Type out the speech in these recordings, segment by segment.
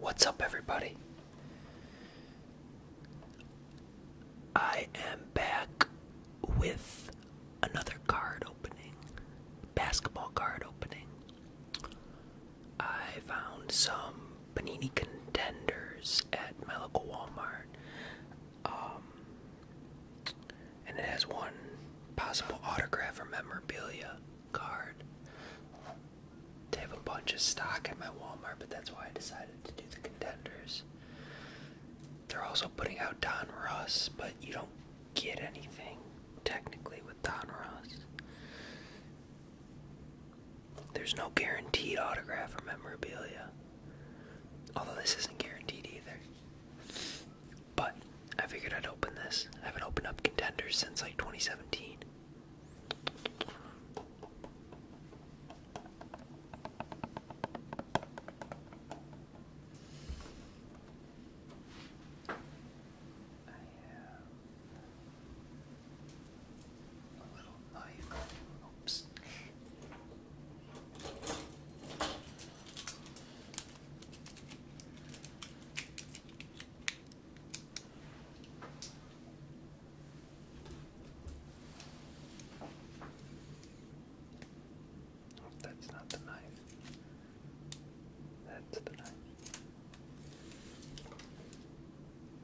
What's up, everybody? I am back with another card opening, basketball card opening. I found some panini contenders at my local Walmart. Um, and it has one possible autograph or memorabilia card. They have a bunch of stock at my Walmart, but that's why I decided to do the contenders. They're also putting out Don Ross, but you don't get anything technically with Don Ross. There's no guaranteed autograph or memorabilia. Although this isn't guaranteed either. But I figured I'd open this. I haven't opened up contenders since like 2017 that's not the knife. That's the knife.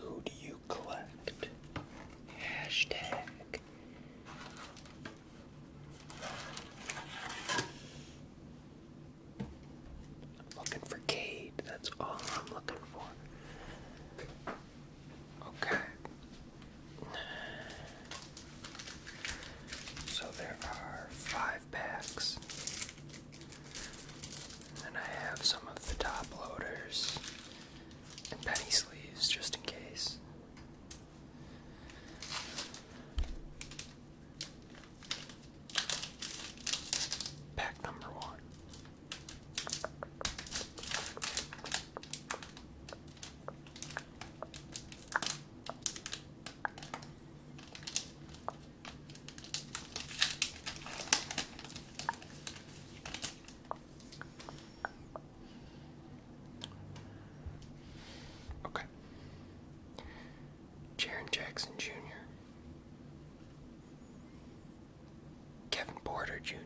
Who do you collect? looking for Cade. That's all I'm looking for. Okay. So there are five packs. And I have some of the top loaders and penny sleeves just in case. Pack number one. Okay. Jaron Jackson Jr. Kevin Porter Jr.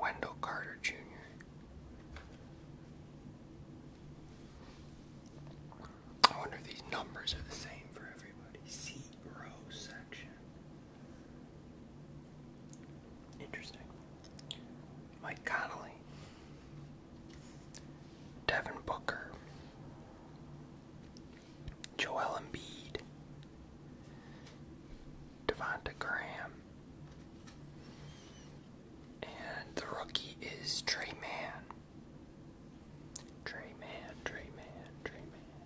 Wendell Carter Jr. I wonder if these numbers are the same for everybody. C row section. Interesting. Mike Connolly. Devin Booker. Joel Embiid, Devonta Graham, and the rookie is Trey Mann. Trey Mann, Trey Mann, Trey Mann.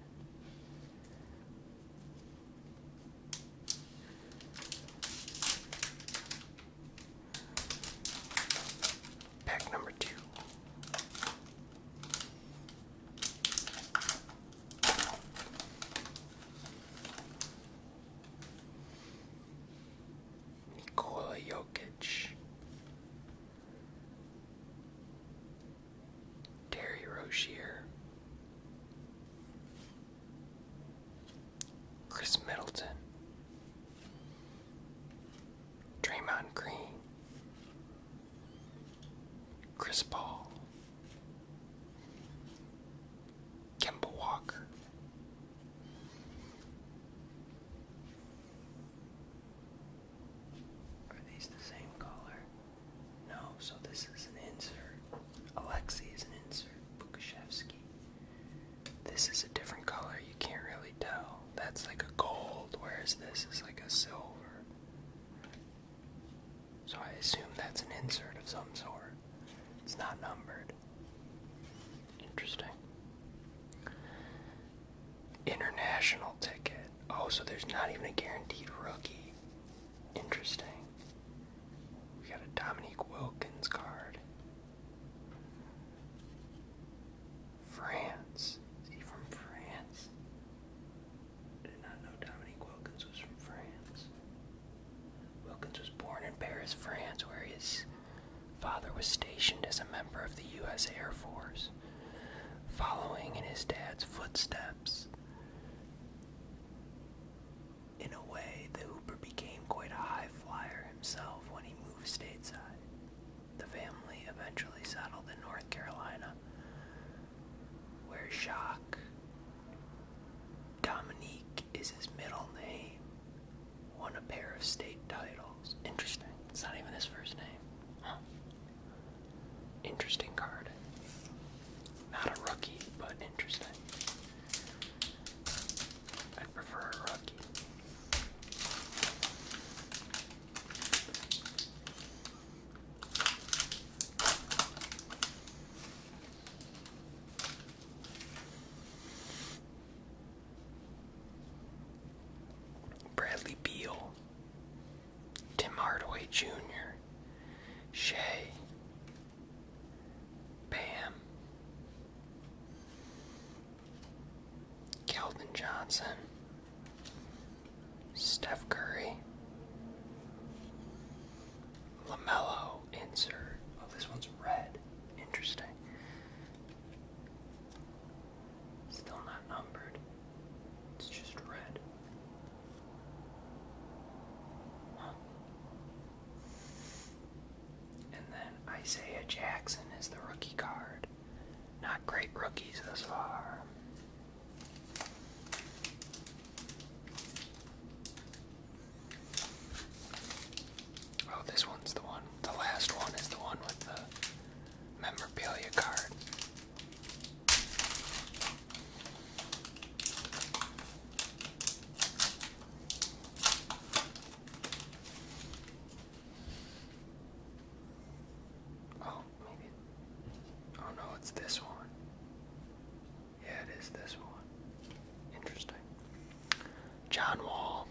Pack number two. Nikola Jokic, Terry Rozier, Chris Middleton, Draymond Green, Chris Paul, Kemba Walker, are these the same color? No, so this is an insert. Alexi is an insert. Bukashevsky. This is a different color, you can't really tell that's like a gold, whereas this is like a silver. So I assume that's an insert of some sort. It's not numbered. Interesting. International ticket. Oh, so there's not even a guaranteed rookie. Interesting. We got a Dominique Wilkins card. France. Is he from France? did not know Dominique Wilkins was from France. Wilkins was born in Paris, France, where his father was stationed as a member of the U.S. Air Force, following in his dad's footsteps. In a way, the Hooper became quite a high flyer himself when he moved stateside. The family eventually settled in North Carolina, where Jacques Dominique is his middle name. Won a pair of state titles. Interesting. It's not even his first name. Interesting card. Not a rookie, but interesting. i prefer a rookie. Bradley Beal, Tim Hardaway Jr., Shea, Pam. Kelvin Johnson, Steph Curry, LaMelo insert. Oh, this one's red. Interesting. Still not numbered. It's just red. And then Isaiah Jackson is the rookie card. Not great rookies thus far. Oh, this one's the one. The last one is the one with the memorabilia card. Oh, maybe. Oh no, it's this one. Yeah, it is this one. Interesting. John Wall.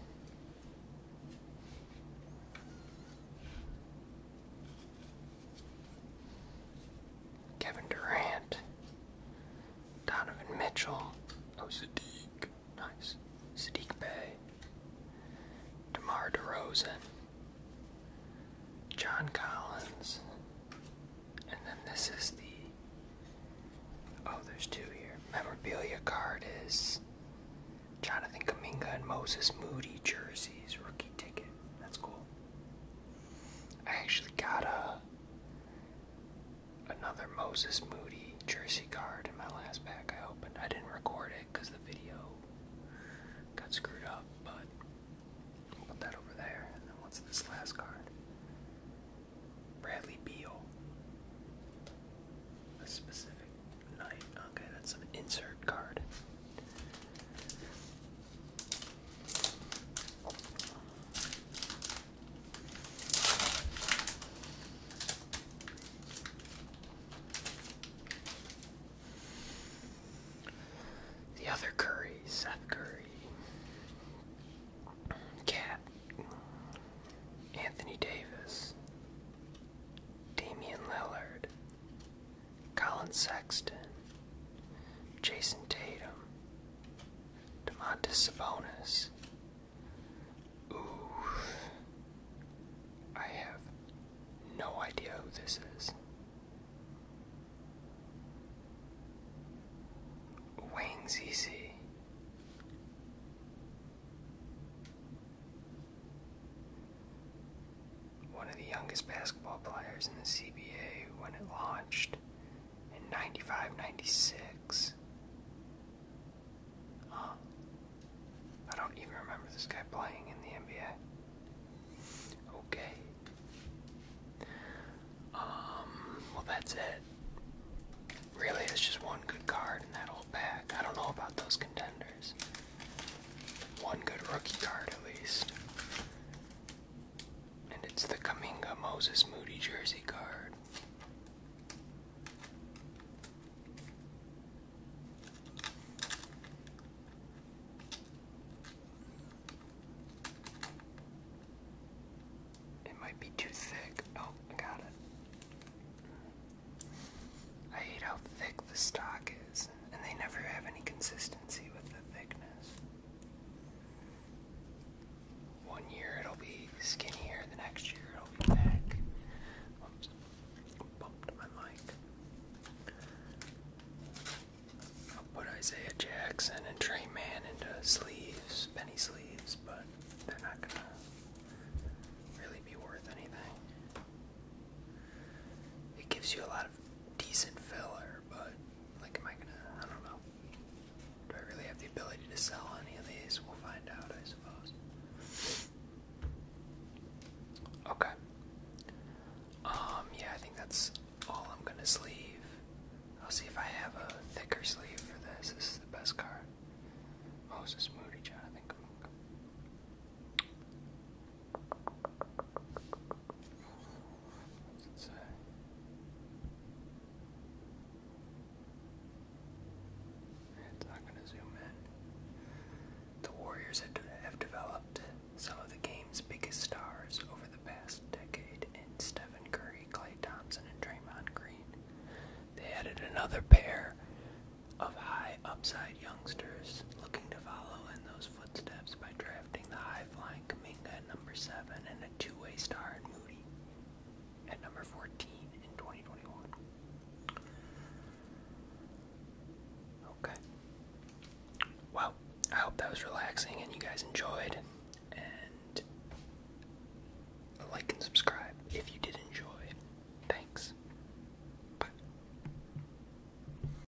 Kevin Durant. Donovan Mitchell. Oh, Sadiq. Nice. Sadiq Bay. DeMar DeRozan. John Collins. And then this is the. Oh, there's two here. Memorabilia card is Jonathan Kaminga and Moses Moody jerseys, rookie ticket. That's cool. I actually got a another Moses Moody jersey card in my last pack I opened. I didn't record it because the video got screwed up, but we put that over there. And then what's this last card? Bradley Beal. A specific night. Okay, that's an insert card. The other Curry, Seth Curry, Cat, Anthony Davis, Damian Lillard, Colin Sexton, Jason Tatum, DeMontis Sabonis. Ooh. I have no idea who this is. Wang Zizi. One of the youngest basketball players in the CBA when it launched in 95, 96. Huh. I don't even remember this guy playing in the NBA. Okay. Um, well, that's it. Really, it's just one good card in that old pack. I don't know about those contenders. One good rookie card, at least. And it's the Kaminga Moses Moody jersey card. It might be too thick. Oh, I got it. I hate how thick the stock is, and they never have any consistency with the thickness. One year it'll be skinnier, the next year it'll be back. Oops, bumped my mic. I'll put Isaiah Jackson and Tray Man into sleeves, penny sleeves, but they're not gonna really be worth anything. It gives you a lot of decent filler, but like, am I gonna? I don't know. Do I really have the ability to sell any of these? We'll find out, I suppose. Okay. Um, yeah, I think that's all I'm gonna sleeve. I'll see if I have a thicker sleeve for this. This is the best card. Moses oh, Moody, Jonathan the Warriors have developed some of the game's biggest stars over the past decade in Stephen Curry, Clay Thompson, and Draymond Green. They added another pair of high upside youngsters looking to follow in those footsteps footsteps by drafting the high-flying Kaminga at number 7 and a two-way star in Moody at number 14 in 2021. Okay. Well, I hope that was relaxing and you guys enjoyed. And like and subscribe if you did enjoy. Thanks. Bye.